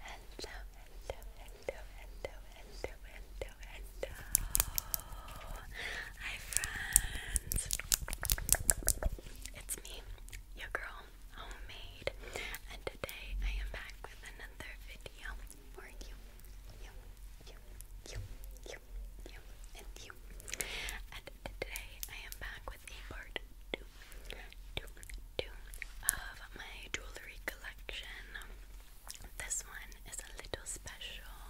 Hello, hello, hello, hello, hello, hello, hello. Hi, friends. It's me, your girl, Homemade, and today I am back with another video for you, you, you, you, you, you, and you. And today I am back with a part two of my jewelry collection. This one is a little special.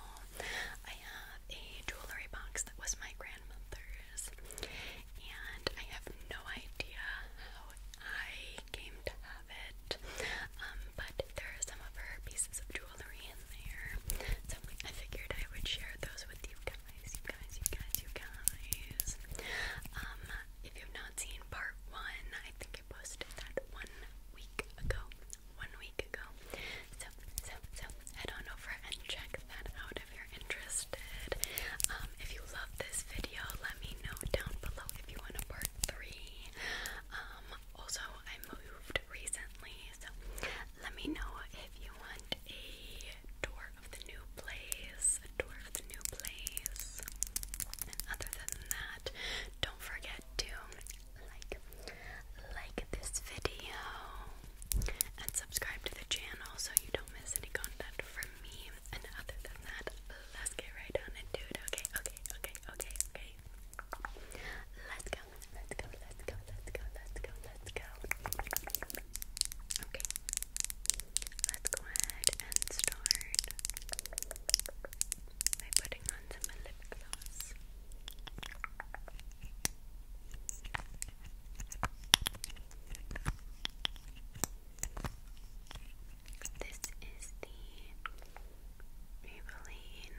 I have a jewelry box that was my grandmother's, and I have no idea how I came to have it. Um, but there are some of her pieces of jewelry in there, so I figured I would share those with you guys. You guys, you guys, you guys. Um, if you've not seen part one, I think I posted that one week ago. One week ago. So, so, so, head on over and check that out if you're interested. Um, if you love this video, let me know down below if you want part three. Um, also, I moved recently, so let me know if you want a tour of the new place, a tour new place. other than that, don't forget to like like this video and subscribe to the channel so you don't miss any content from me. And other than that, let's get right on it, Okay, okay, okay, okay, okay. Let's go, let's go, let's go, let's go, let's go, let's go. Okay let's go ahead and start by putting on some lip gloss. This is the Maybelline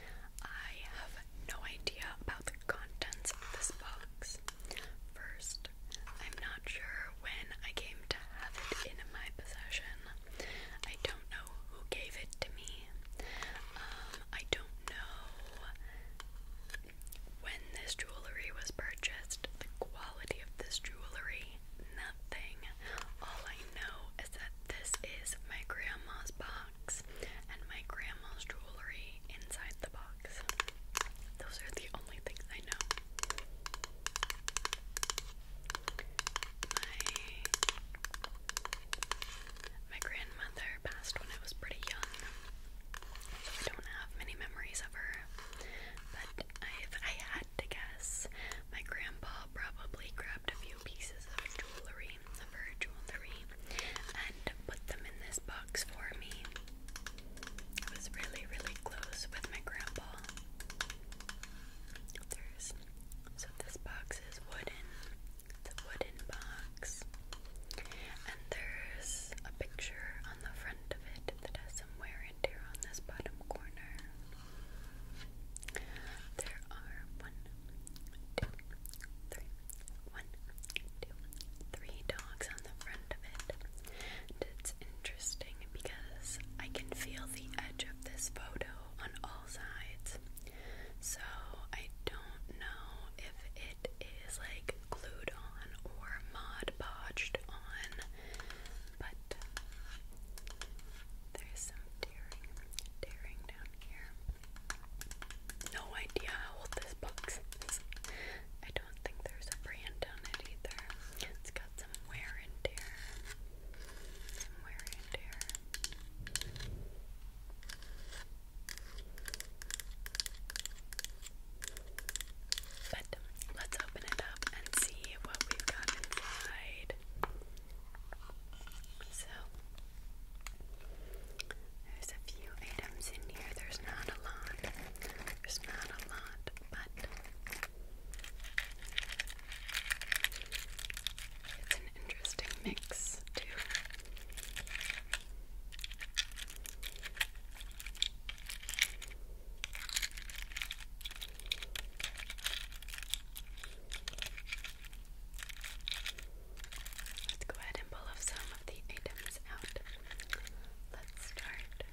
I have no idea about the contents of this box. First, I'm not sure when I came to have it in my possession. I don't know who gave it to me. Um, I don't know when this jewelry was purchased, the quality of this jewelry, nothing. All I know is that this is my grandma's box and my grandma's jewelry inside the box. Those are the only things I know. My my grandmother passed when I was pretty young, I don't have many memories of her. But if I had to guess, my grandpa probably grabbed a few pieces of jewelry jewelry, of and put them in this box for me. I was really, really close with my grandpa. There's, so this box is wooden. It's a wooden box. And there's a picture on the front of it that has some wear and tear on this bottom corner. There are one, two, three. One, dogs on the front of it. it's interesting because I can feel the edge of this photo on all sides. So I don't know if it is like glued on or mod podged on, but there's some tearing, tearing down here. No idea how old this box is. I don't think there's a brand on it either. It's got some wear and tear. Some wear and tear. But um, let's open it up and see what we've got inside. So there's a few items in here. There's not a lot. There's not a lot, but it's an interesting mix, too. Let's go ahead and pull off some of the items out. Let's start with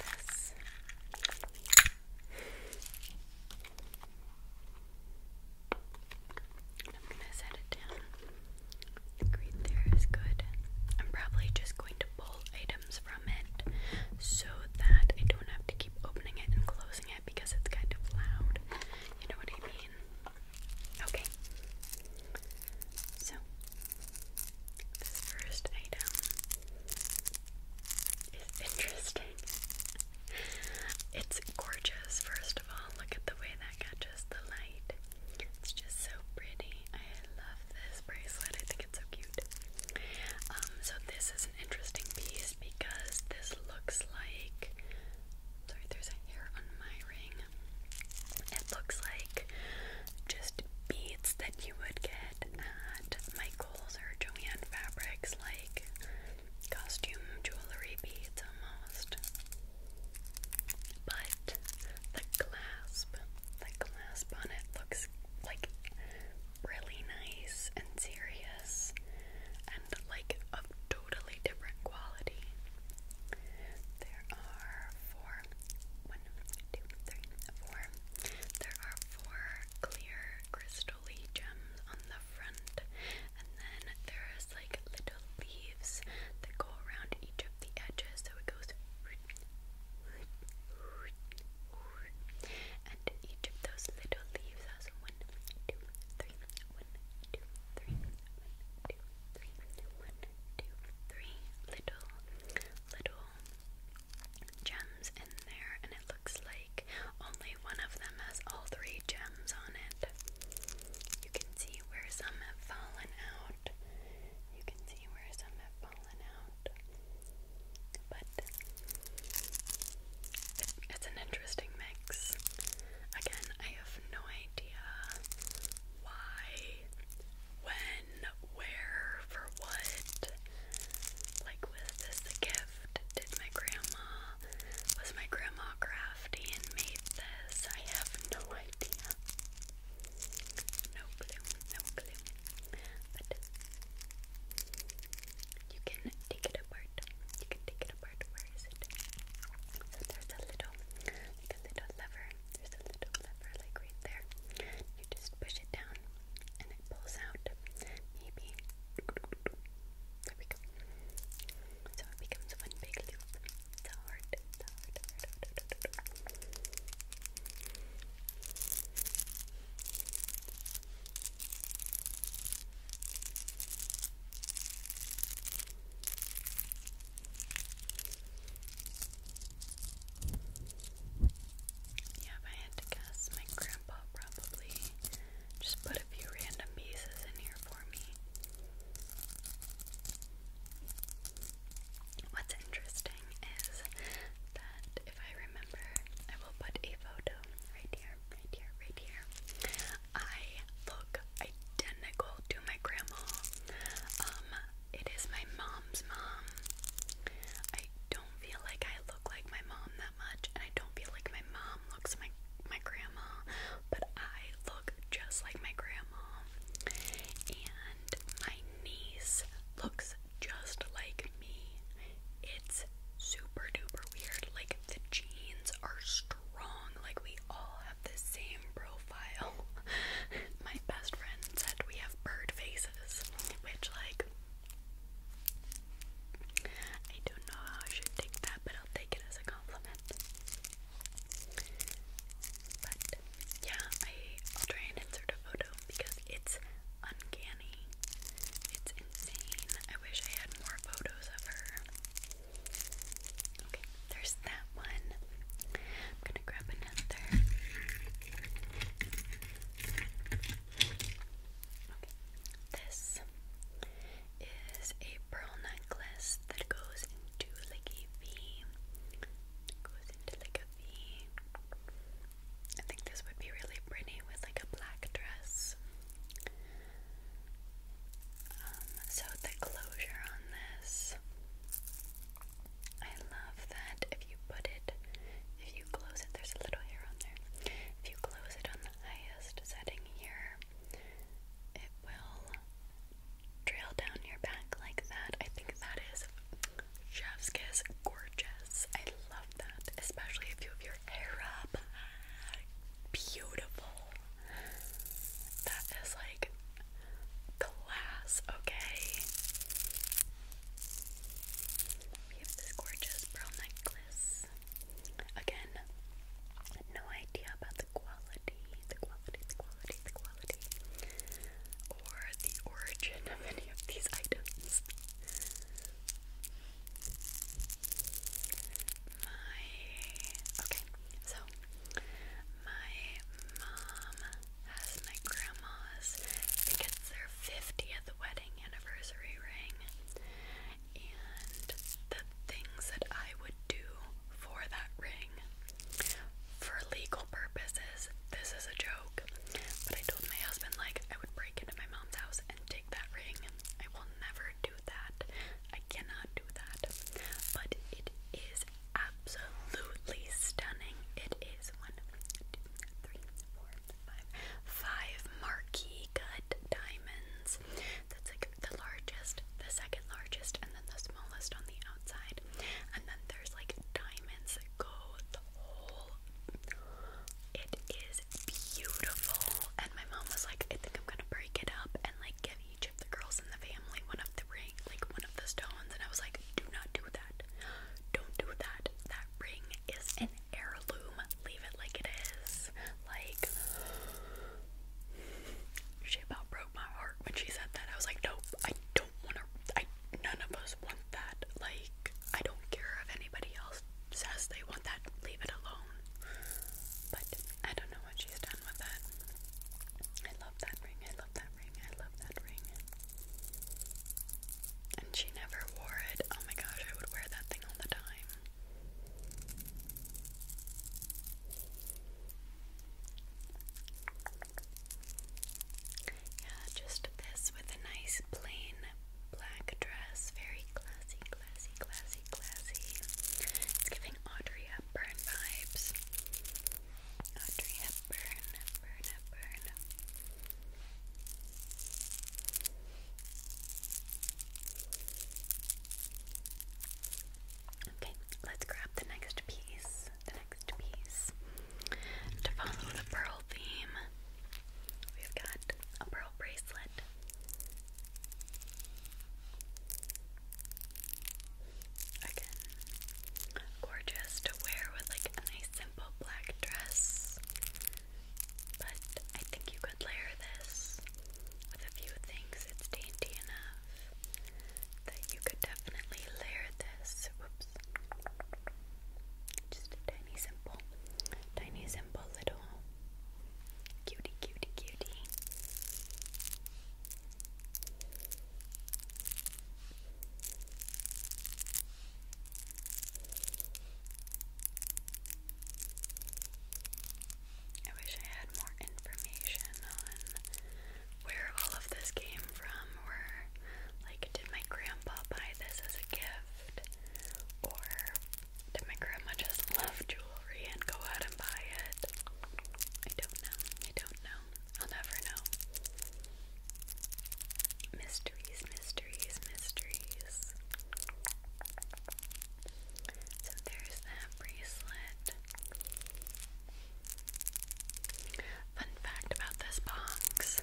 this. I'm gonna set it down. The green there is good. I'm probably just going to pull items from it so that I don't have to keep opening it and closing it because it's kind of loud. You know what I mean? Okay. So, this first item is interesting. It's gorgeous, first of all. Look at the way that catches the light. It's just so pretty. I love this bracelet. I think it's so cute. Um, so this is an interesting piece because this looks like. Sorry, there's a hair on my ring. It looks like just beads that you would get at Michael's or Joanne Fabrics, like costume jewelry beads almost. But the clasp, the clasp on it looks like really nice and serious and like of totally different quality. There are four one, two, three, four. There are four clear crystally gems on the front and then there is like little leaves that go around each of the edges so it goes and each those little leaves has one, two, three, one, two, three, one, two, three, one, two, three little, little gems in there, and it looks like only one of them has all three gems on it. You can see where some have fallen out. You can see where some have fallen out but it's an interesting mix. Again, I have no idea why, when, where, for what. Like, was this a gift? Did my grandma, was my grandma crafty and made this? I have no idea. No clue, no clue. But you can take it apart. You can take it apart. Where is it? So there's a little, like a lever. There's a little lever, like right there. You just push it down, and it pulls out. Maybe there we go. So it becomes one big loop. It's a yeah, I had to guess, my grandpa probably just put a few random pieces in here for me. What's interesting is that if I remember, I will put a photo right here right here, right here. I look identical to my grandma. Um, it is my mom's mom. I don't feel like I look like my mom that much, and I don't feel like my mom looks my my grandma, but I look just like my grandma. And my niece looks just like me. It's super duper weird. Like, the genes are strong. Like, we all have the same profile. My best friend said we have bird faces, which, like, I don't know how I should take that, but I'll take it as a compliment. But yeah, I, will try and insert a photo because it's uncanny. It's insane. I wish I had more photos of her. Okay, there's that one. I'm gonna grab another. Okay, this is a pearl necklace that goes into like a V. goes into like a V. I think this would be really pretty with like a black dress. Um, so the closure on this, I love that if you put it, if you close it, there's a little hair on there. If you close it on the highest setting here, it will trail down your back like that. I think that is chef's gorgeous. I especially if you have your hair up. Beautiful. That is like class, okay? We have this gorgeous pearl necklace. Again, no idea about the quality, the quality, the quality, the quality, or the origin of any of these items. My okay, so my mom has my grandma's. I it's their fiftieth wedding anniversary ring, and the things that I would do for that ring for legal purposes. This is a joke, but I told my husband like I would break into my mom's house take that ring. I will never do that. I cannot do that. But it is absolutely stunning. It is one, two, three, four, five, five marquee cut diamonds. That's like the largest, the second largest, and then the smallest on the outside. And then there's like diamonds that go the whole. It is beautiful. And my mom was like, I think I'm gonna break it up and like give each of the girls in the family one of the ring, like one of the stones. And I was like, do not do that. Don't do that. That ring is an heirloom. Leave it like it is. Like, she about broke my heart when she said that. I was like, nope, I don't wanna. I none of us want that. Like, I don't care if anybody else says they want that, leave it alone. But I don't know what she's done with that. I love that ring, I love that ring, I love that ring. And she never wore it. Oh my gosh, I would wear that thing all the time. Yeah, just this with a nice plain black dress. Very classy, classy, classy, classy. It's giving Audrey Hepburn vibes. Audrey Hepburn, Hepburn, Hepburn. Okay, let's grab the next piece. The next piece to follow the pearl theme. We've got a pearl bracelet. gorgeous to wear with like a nice simple black dress. But I think you could layer this with a few things. It's dainty enough that you could definitely layer this. Whoops. Just a tiny, simple, tiny, simple little cutie, cutie, cutie. I wish I had more information on where all of this came from, or like, did my grandpa buy this as a gift or did my grandma just love jewelry and go out and buy it? I don't know. I don't know. I'll never know. Mysteries, mysteries, mysteries. So there's that bracelet. Fun fact about this box.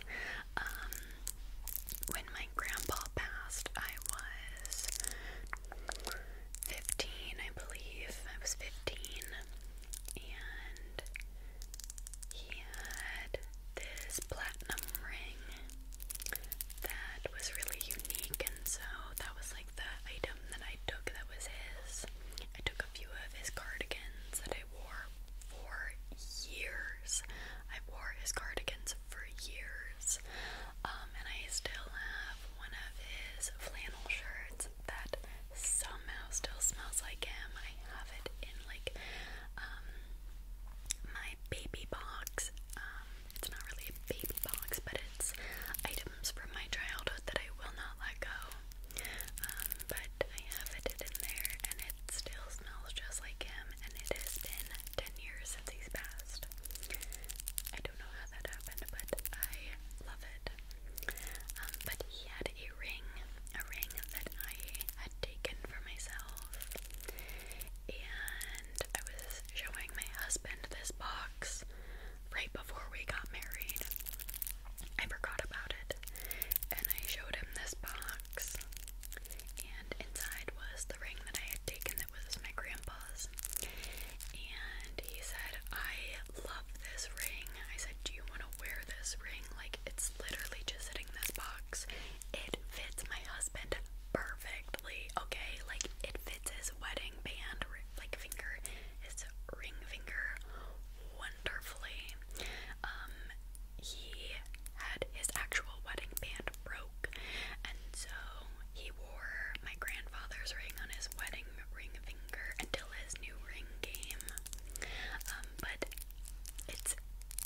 Um, when my grandpa passed, I was 15, I believe. I was 15, and he had this platinum ring that was really unique, and so that was like the item that I took that was his. I took a few of his cardigans that I wore for years. I wore his cardigans for years. Um, and I still have one of his flannel shirts that somehow still smells like him. I have it in like um, my baby box. Um, it's not really a baby box, but it's items from my childhood that I will not let go but I have it in there and it still smells just like him and it has been 10 years since he's passed. I don't know how that happened, but I love it. Um, but he had a ring, a ring that I had taken for myself and I was showing my husband this box right before we got married. I forgot about it and I showed him this box and inside was the ring that I had taken that was my grandpa's. And he said, I love this ring. I said, Do you want to wear this ring? Like, it's literally just sitting in this box. It fits my husband perfectly, okay? Like, it fits his wedding band, like, finger, his ring finger wonderfully. Um, he had his actual wedding band broke, and so he wore my grandfather's ring on his wedding ring finger until his new ring came. Um, but it's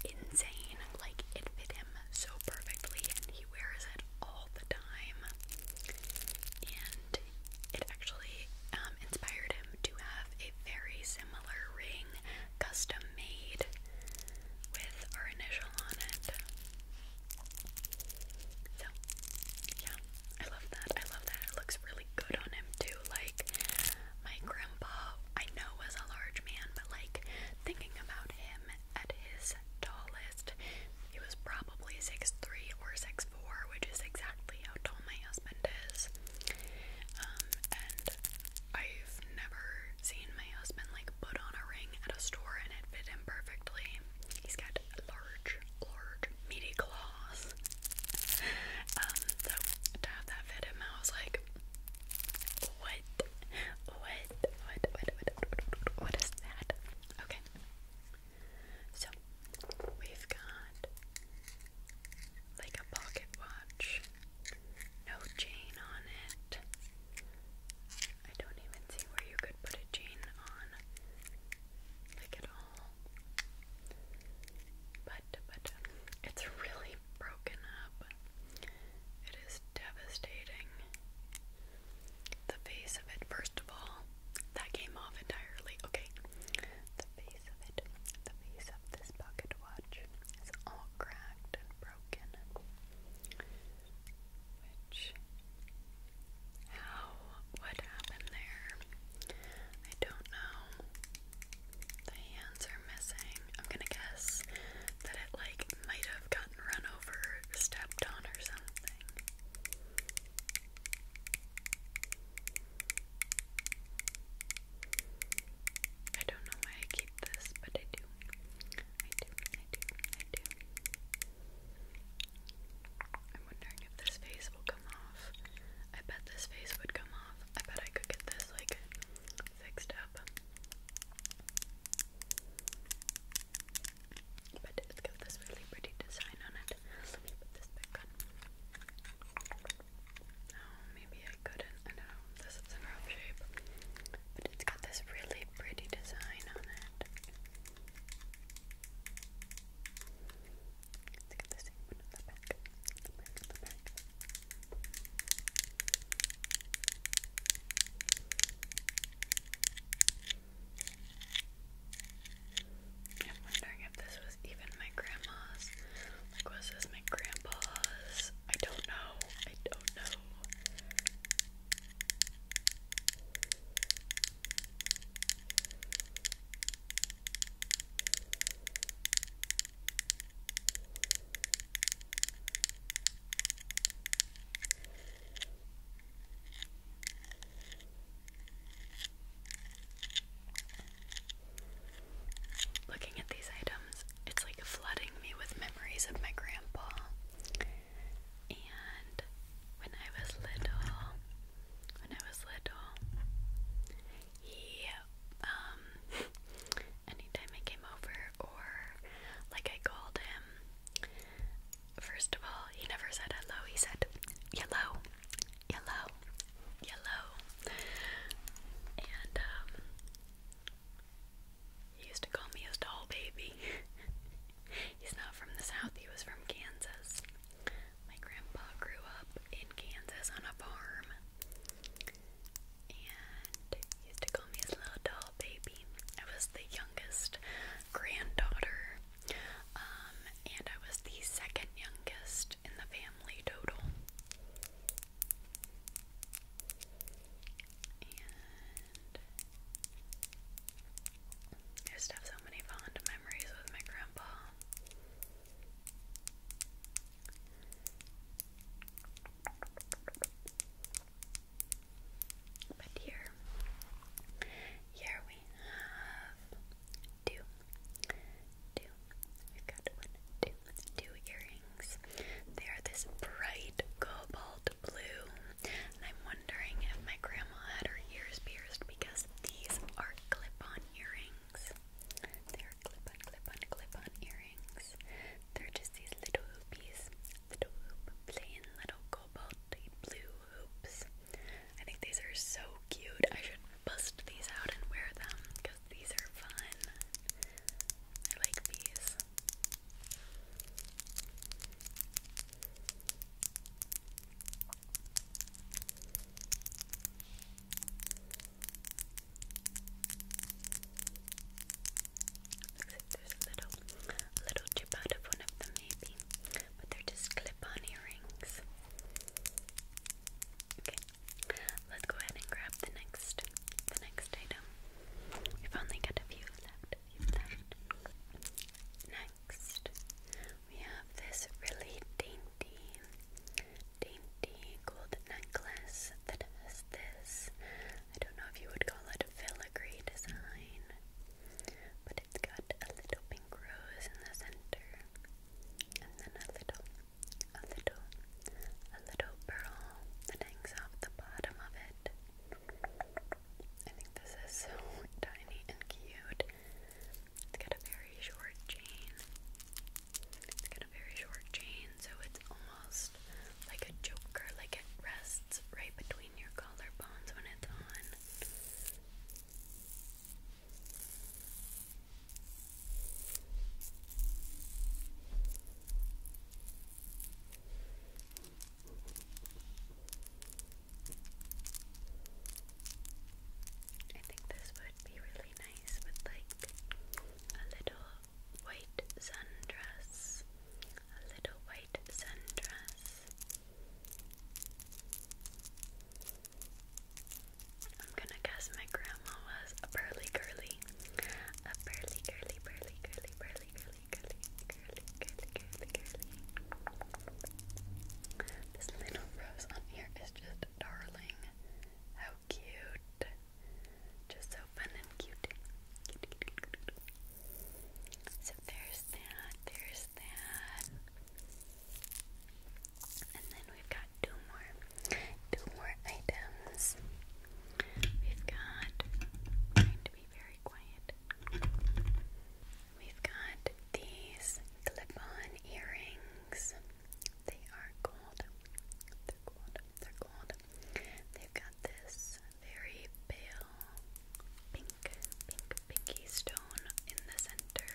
insane, like, it fit him so perfectly, and he wears it all the time. And it actually um, inspired him to have a very similar ring, custom made, with our initial on it. So, yeah, I love that. I love that. It looks really good on him, too. Like, my grandpa, I know, was a large man, but like, thinking about him at his tallest, he was probably 6'3 or 6'4, which is exactly how tall my husband is. Um, and I've never seen my husband like put on a ring at a store and it fit him perfectly. He's got large, large, meaty claws. Um, to have that fit him, I was like, What? What? What? What? What, what is that? Okay. So we've got like a pocket watch no chain on it. I don't even see where you could put a chain on, like at all. But, but, it's really broken up. It is devastating. The face of it, first of all, that came off entirely. Okay. The face of it, the face of this pocket watch all cracked and broken. Which, how, what happened there? I don't know. The hands are missing. I'm gonna guess that it, like, might have gotten run over, stepped on, or something. I don't know why I keep this, but I do. I do, I do, I do. I'm wondering if this face will come off. I bet this face would come off. I bet I could get this like fixed up. But it's got this really pretty design on it. Let me put this back on. Oh, maybe I couldn't. I know. This is a rough shape. But it's got this really pretty design on it. Let's get the same one on the back. I'm wondering if this was was even my grandma's. Like, was this my grandpa's? I don't know. I don't know. Looking at these items, it's like flooding me with memories of my grandpa. And when I was little, when I was little, he, um, anytime I came over or like I called him, first of all, he never said hello, he said, hello yellow, yellow, and um, he used to call me his doll baby. He's not from the south, he was from Kansas. My grandpa grew up in Kansas on a farm, and he used to call me his little doll baby. I was the youngest granddaughter, um, and I was the second youngest in the family family I just have so many fond memories with my grandpa. But here, here we have two two. We've got one, two, two earrings. They are this bright cobalt blue, I'm wondering if my grandma had her ears pierced because these are clip-on earrings. They are clip-on, clip-on, clip-on earrings. They're just these little hoopies, little hoop, plain little cobalt blue hoops. I think these are so cute. I should bust these out and wear them because these are fun. I like these. Looks there's a little, little chip out of one of them, maybe, but they're just clip on earrings. Okay, Let's go ahead and grab the next the next item. We've only got a few left. Next, we have this really dainty, dainty gold necklace that has this. I don't know if you would call it a filigree design, but it's got a little pink rose in the center and then a little, a little, a little pearl that hangs off the bottom of it. I think this is so tiny and cute. It's got a very short chain. It's got a very short chain, so it's almost like a joker, like it rests right between your collarbones when it's on. I think this would be really nice with like a little white sundress, a little white sundress. I'm gonna guess my grandma was a pearly girly. A pearly girly, pearly girly, pearly girly, girly, girly, girly, girly, This little rose on here is just darling. How cute. Just so fun and cute. So there's that, there's that. And then we've got two more, two more items. We've got trying to be very quiet. We've got these clip-on earrings. They are gold. They're gold. They're gold. They've got this very pale pink, pink, pinky stone in the center.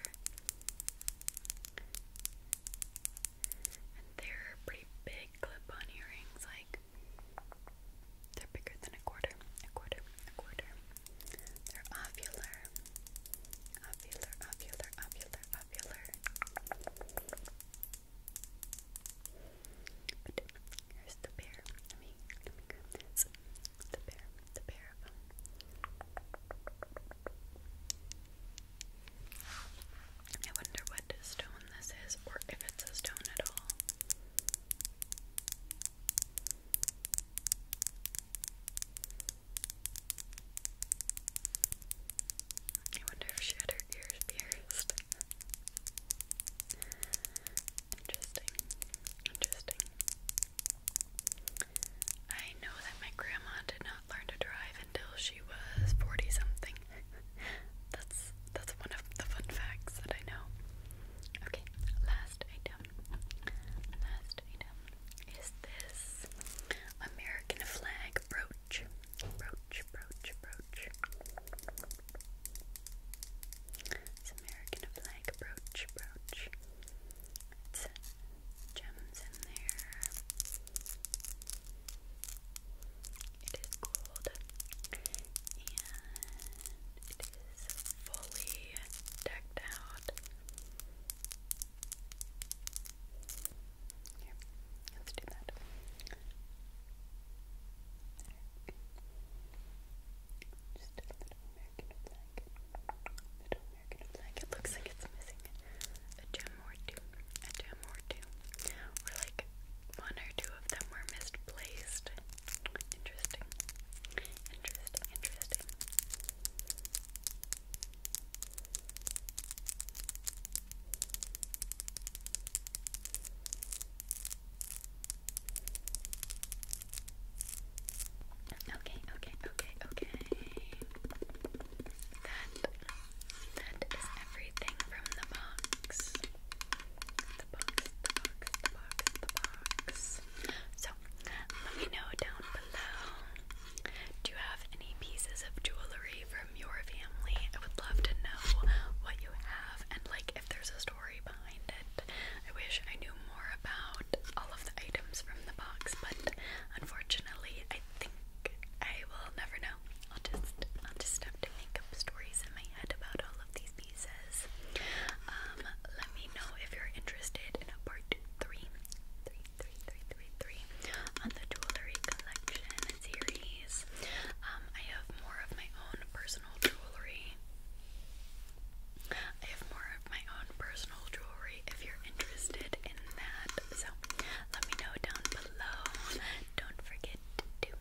And they're pretty big clip-on earrings, like they're bigger than a quarter, a quarter, a quarter. They're ovular, ovular, ovular, ovular, ovular. But here's the pair. Let me, The pair, the pair of them. I wonder what stone this is, or if it's a stone at all. I wonder if she had her ears pierced. interesting, interesting. I know that my grandma did not learn to drive until she was 40 something. that's that's one of the fun facts that I know. Okay, last item. Last item is this American flag brooch. Brooch, brooch, brooch. It's American flag brooch, brooch gems in there. It is gold and it is fully decked out. Here, let's do that. There. Just a little American flag. Middle you're gonna be like, it looks like it's missing a gem or two, a gem or two, or like one or two of them were misplaced. Interesting, interesting, interesting. Okay, okay, okay, okay. That that is everything from the box. The box, the box, the box, the box. So let me know down below. Do you have any pieces of jewelry from your family? I would love to know what you have and like if there's a story behind it. I wish I knew more about all of the items from the box, but unfortunately, I think I will never know. I'll just I'll just have to make up stories in my head about all of these pieces. Um, let me know if you're interested in a part three, three, three, three, three, three on the jewelry collection series. Um, I have more of my own personal jewelry I have more of my own personal jewelry if you're interested in that. So let me know down below. Don't forget to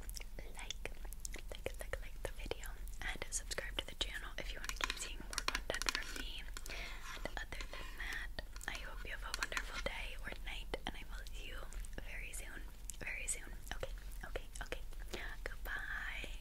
like, like, like, like the video and subscribe to the channel if you want to keep seeing more content from me. And other than that, I hope you have a wonderful day or night, and I will see you very soon. Very soon. Okay, okay, okay. Goodbye.